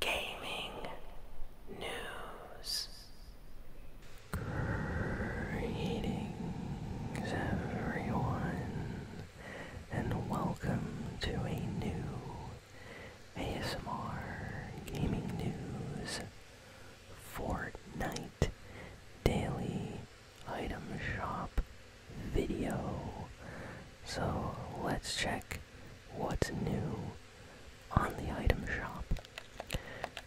gaming news. Greetings, everyone, and welcome to a new ASMR Gaming News Fortnite Daily Item Shop video. So let's check what's new on the item shop.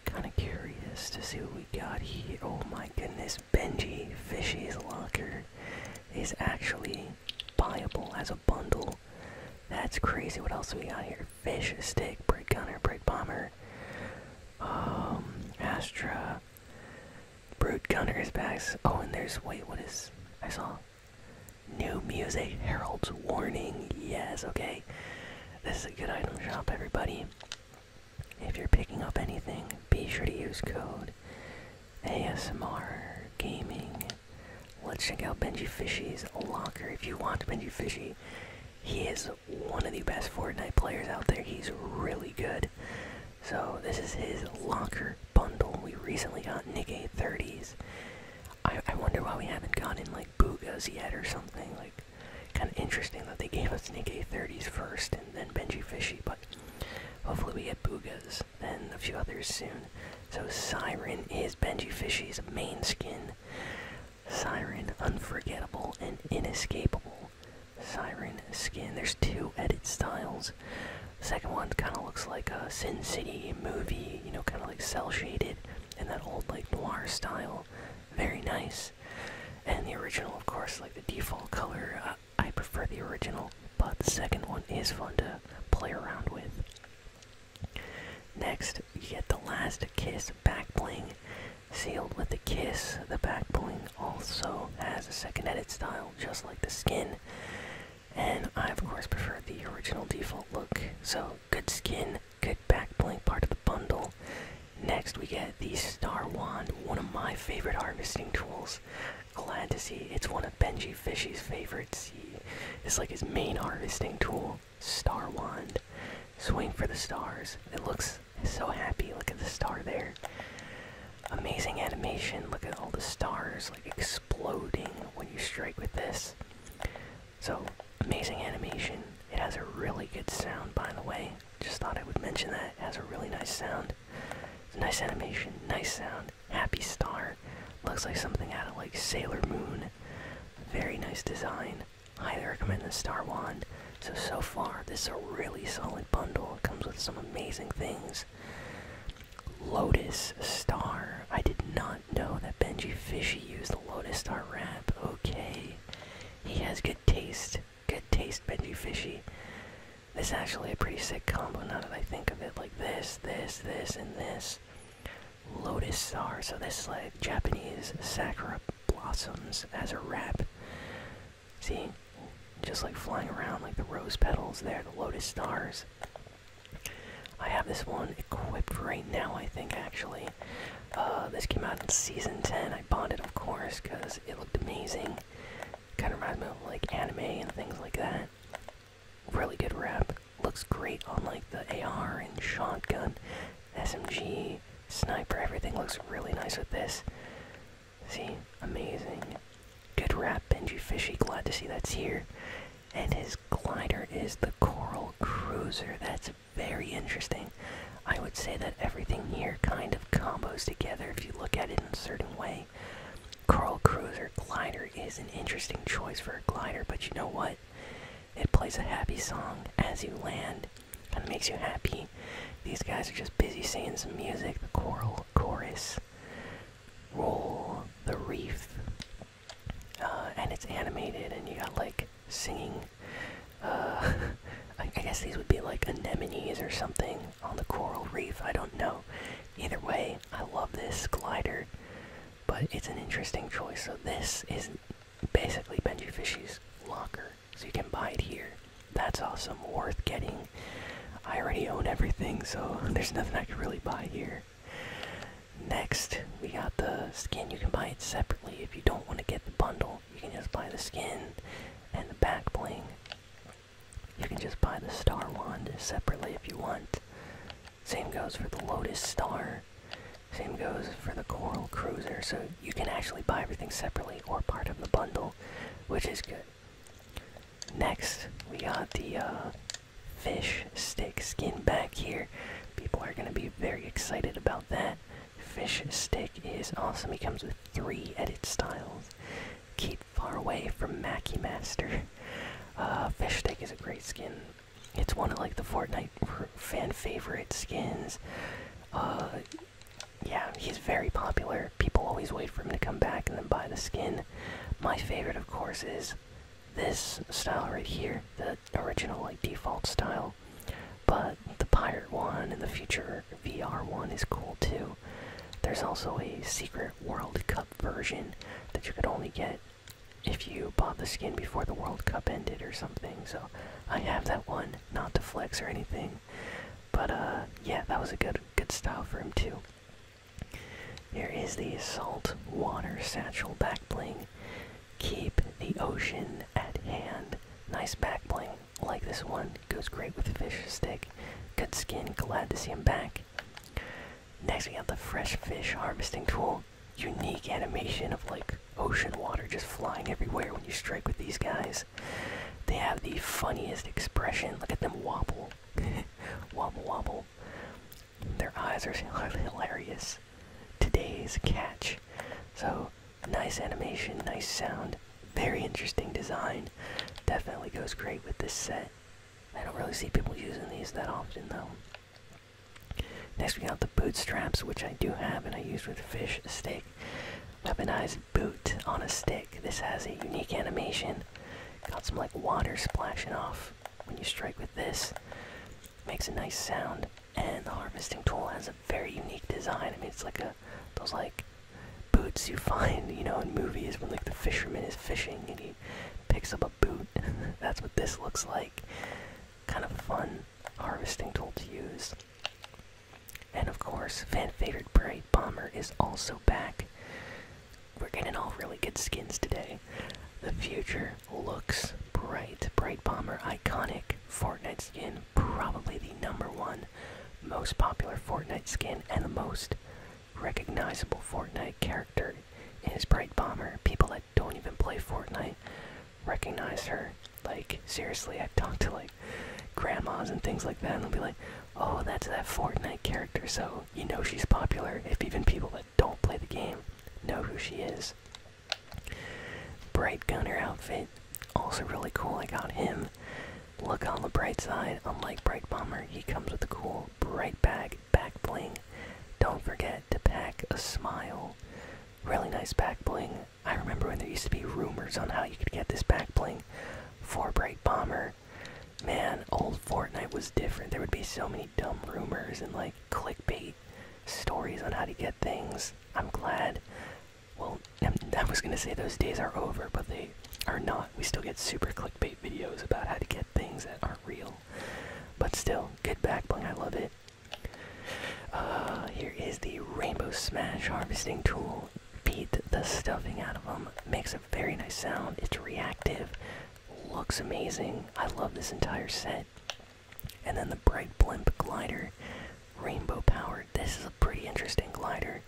Kind of curious to see what we got here. Oh my goodness, Benji Fishy's Locker is actually buyable as a bundle. That's crazy. What else do we got here? Fish, Stick, um, Brute Gunner, Brute Bomber, Astra, Brute Gunner's bags. Oh, and there's, wait, what is, I saw New music, Herald's Warning. Yes, okay. This is a good item shop, everybody. If you're picking up anything, be sure to use code ASMR Gaming. Let's check out Benji Fishy's locker. If you want Benji Fishy, he is one of the best Fortnite players out there. He's really good. So this is his locker bundle. We recently got Nick A30s. I, wonder why we haven't gotten like boogers yet or something. Like, kind of interesting that they gave us Nick A30s first and then Benji Fishy, but hopefully we get boogers and a few others soon. So Siren is Benji Fishy's main skin. Siren, unforgettable and inescapable. Siren skin. There's two edit styles the second one kind of looks like a Sin City movie, you know, kind of like cell shaded in that old like noir style. Very nice. And the original, of course, like the default color. Uh, I prefer the original, but the second one is fun to play around with. Next, you get the last kiss back bling. Sealed with a kiss, the back bling also has a second edit style, just like the skin. And I, of course, prefer the original default look. So, good skin, good back bling, part of the bundle. Next, we get the Star Wand, one of my favorite harvesting tools. Glad to see it's one of Benji Fishy's favorites. He, it's like his main harvesting tool, Star Wand. Swing for the stars. It looks so happy. Look at the star there. Amazing animation. Look at all the stars like exploding when you strike with this. So, amazing animation. It has a really good sound, by the way. Just thought I would mention that. It has a really nice sound. nice animation, nice sound. Happy Star. Looks like something out of like Sailor Moon. Very nice design. Highly recommend the Star Wand. So, so far, this is a really solid bundle. It comes with some amazing things. Lotus Star. I did not know that Benji Fishy used the Lotus Star rap. Okay. He has good taste. Good taste, Benji Fishy. This is actually a pretty sick combo now that I think of it. Like this, this, this, and this. Lotus Star. So this is like Japanese Sakura Blossoms as a rap. See? just like flying around like the rose petals there, the lotus stars. I have this one equipped right now, I think, actually. Uh, this came out in season 10. I bought it, of course, because it looked amazing. Kind of reminds me of like anime and things like that. Really good wrap. Looks great on like the AR and shotgun, SMG, sniper. Everything looks really nice with this. See, amazing. Good wrap, Benji Fishy. Glad to see that's here. And his glider is the Coral Cruiser. That's very interesting. I would say that everything here kind of combos together if you look at it in a certain way. Coral Cruiser Glider is an interesting choice for a glider, but you know what? It plays a happy song as you land. and of makes you happy. These guys are just busy singing some music, the Coral chorus roll the reef uh, and it's animated and you got like singing uh, I guess these would be like anemones or something on the coral reef i don't know either way i love this glider but it's an interesting choice so this is basically benji fishy's locker so you can buy it here that's awesome. Worth getting. I already own everything, so there's nothing I could really buy here. Next, we got the skin. You can buy it separately if you don't want to get the bundle. You can just buy the skin and the back bling. You can just buy the star wand separately if you want. Same goes for the Lotus Star. Same goes for the Coral Cruiser. So you can actually buy everything separately or part of the bundle, which is good. Next, we got the uh, fish stick skin back here. People are going to be very excited about that. Fish stick is awesome. It comes with three edit styles. Keep far away from Mackie Master. Uh, fish stick is a great skin. It's one of like the Fortnite fan favorite skins. Uh, yeah, he's very popular. People always wait for him to come back and then buy the skin. My favorite, of course, is this style right here, the original like default style. But the pirate one and the future VR one is cool too. There's also a secret World Cup version that you could only get if you bought the skin before the World Cup ended or something. So I have that one, not to flex or anything, but uh, yeah, that was a good good style for him too. Here is the salt water satchel back bling. Keep the ocean at hand. Nice back bling. Like this one. Goes great with fish stick. Good skin. Glad to see him back. Next we have the fresh fish harvesting tool. Unique animation of like ocean water just flying everywhere when you strike with these guys. They have the funniest expression. Look at them wobble. wobble, wobble. Their eyes are hilarious. Today's catch. So, nice animation, nice sound, very interesting design. Definitely goes great with this set. I don't really see people using these that often, though. Next, we got the bootstraps, which I do have and I used with fish steak. Weaponized boot on a stick. This has a unique animation. Got some like water splashing off when you strike with this. Makes a nice sound. And the harvesting tool has a very unique design. I mean, it's like a those like boots you find, you know, in movies when like the fisherman is fishing and he picks up a boot. That's what this looks like. Kind of fun harvesting tool to use. And of course, fan favorite Bright Bomber is also back. We're getting all really good skins today. The future looks bright. Bright Bomber, iconic Fortnite skin, probably the number one most popular Fortnite skin and the most recognizable Fortnite character is Bright Bomber. People that don't even play Fortnite recognize her. Like, seriously, I've talked to like grandmas and things like that, and they'll be like, "Oh, that's that Fortnite character." So you know she's popular if even people that don't play the game know who she is. Bright Gunner outfit, also really cool. I got him. Look on the bright side. Unlike Bright Bomber, he comes with a cool bright bag back bling. Don't forget to pack a smile. Really nice back bling. I remember when there used to be rumors on how you could get this back bling for Bright Bomber. Man, old Fortnite was different. There would be so many dumb rumors and like clickbait stories on how to get things. I'm glad. Well, I was gonna say those days are over, but they are not. We still get super clickbait videos about how to get things that aren't real. But still, good back bling. I love it. Uh, here is the Rainbow Smash harvesting tool will the stuffing out of them. Makes a very nice sound. It's reactive. Looks amazing. I love this entire set. And then the Bright Blimp glider. Rainbow powered. This is a pretty interesting glider.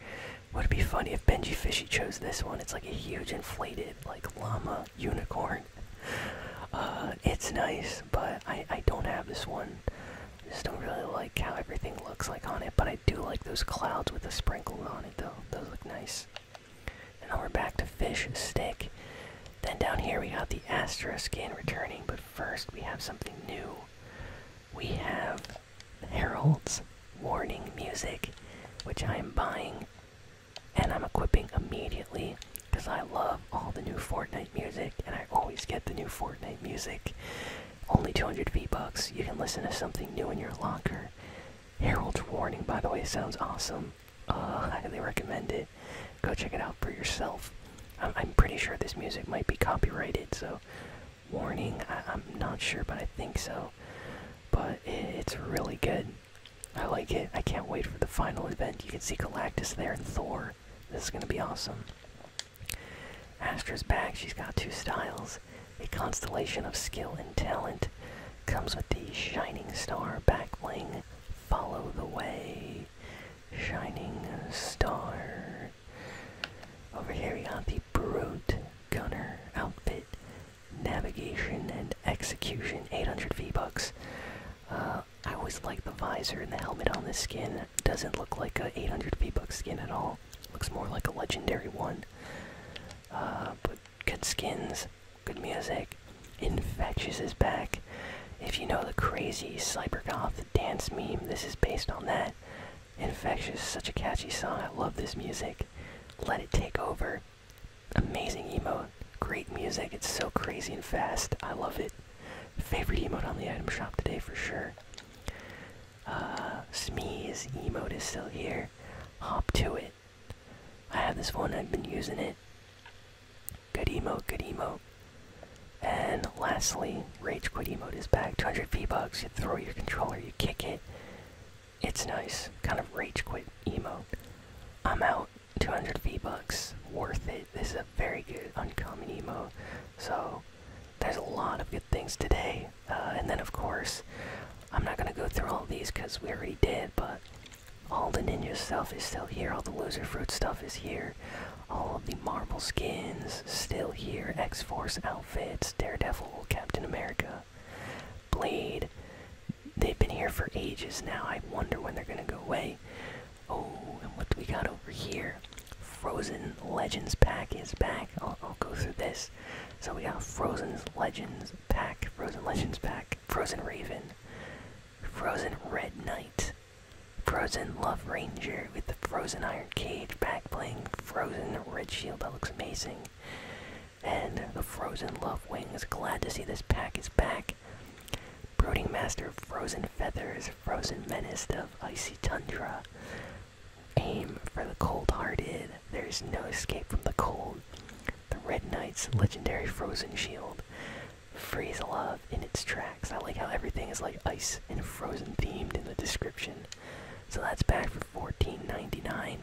Would it be funny if Benji Fishy chose this one? It's like a huge inflated, like llama unicorn. Uh, it's nice, but I, I don't have this one. I just don't really like how everything looks like on it, but I do like those clouds with the sprinkles on it, though. Those look nice. And now we're back to fish stick. Then down here we got the Astro skin returning, but first we have something new. We have heralds warning music, which I am buying and I'm equipping immediately because I love all the new Fortnite music and I always get the new Fortnite music. Only 200 V-Bucks. You can listen to something new in your locker. Herald's Warning, by the way, sounds awesome. Uh, I highly recommend it. Go check it out for yourself. I'm, pretty sure this music might be copyrighted, so warning, I, am not sure, but I think so. But it's really good. I like it. I can't wait for the final event. You can see Galactus there and Thor. This is going to be awesome. Astra's back, she's got two styles. A constellation of skill and talent comes with the Shining Star backling. Follow the way. Shining Star. Over here we got the Brute Gunner outfit. Navigation and execution, 800 V-Bucks. Uh, I always like the visor and the helmet on this skin. Doesn't look like a 800 V-Buck skin at all. Looks more like a legendary one. Uh, but good skins, good music. Infectious is back. If you know the crazy cybergoth dance meme, this is based on that. Infectious, such a catchy song. I love this music. Let it take over. Amazing emote. Great music. It's so crazy and fast. I love it. Favorite emote on the item shop today for sure. Uh, emote is still here. Hop to it. I have this one, I've been using it. Good emote, good emote. And lastly, Rage Quit emote is back. 200 V-Bucks, you throw your controller, you kick it. It's nice. Kind of Rage Quit emote. I'm out. 200 V-Bucks. Worth it this is a very good uncommon emo. So there's a lot of good things today. Uh, and then of course, I'm not gonna go through all these because we already did. But all the ninja stuff is still here. All the loser fruit stuff is here. All of the marble skins still here. X Force outfits, Daredevil, Captain America, Blade. They've been here for ages now. I wonder when they're gonna go away. Oh, and what do we got over here? Frozen Legends pack is back. I'll, go through this. So we got Frozen Legends pack, Frozen Legends pack, Frozen Raven, Frozen Red Knight, Frozen Love Ranger with the Frozen Iron Cage back playing Frozen Red Shield. That looks amazing. And the Frozen Love Wings. Glad to see this pack is back. Brooding Master of Frozen Feathers, Frozen Menace of Icy Tundra. Aim for the cold hearted, there's no escape from the cold. The Red Knight's legendary Frozen Shield. Freeze Love in its tracks. I like how everything is like ice and frozen themed in the description. So that's back for fourteen ninety-nine.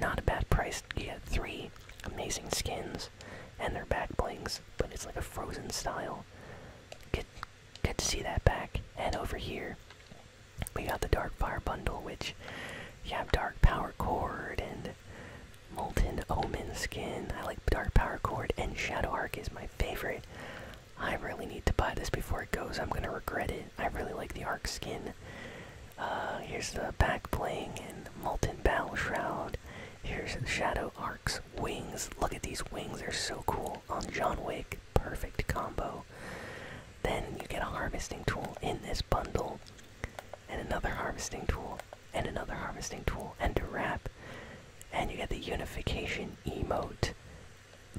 Not a bad price. You get three amazing skins and their back blings, but it's like a frozen style. Good, good to see that back. And over here, we got the Dark Fire Bundle, which you have Dark Power Cord and Molten Omen skin. I like Dark Power Cord, and Shadow Arc is my favorite. I really need to buy this before it goes. I'm gonna regret it. I really like the Arc skin. Uh, here's the back bling and Molten Bow Shroud. Here's Shadow Ark's wings. Look at these wings, they're so cool. On John Wick, perfect combo. Then you get a harvesting tool in this bundle, and another harvesting tool, and another harvesting tool, and a wrap. And you get the unification emote.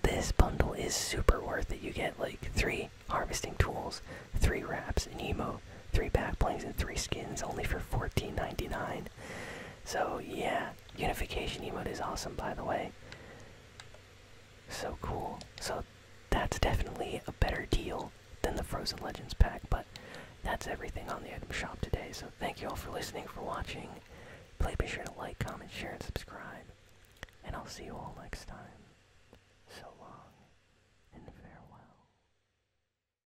This bundle is super worth it. You get like three harvesting tools, three wraps, and emote three back blanks and three skins only for $14.99. So yeah, unification emote is awesome by the way. So cool. So that's definitely a better deal than the Frozen Legends pack, but that's everything on the item shop today. So thank you all for listening, for watching. Please be sure to like, comment, share, and subscribe. And I'll see you all next time. So long and farewell.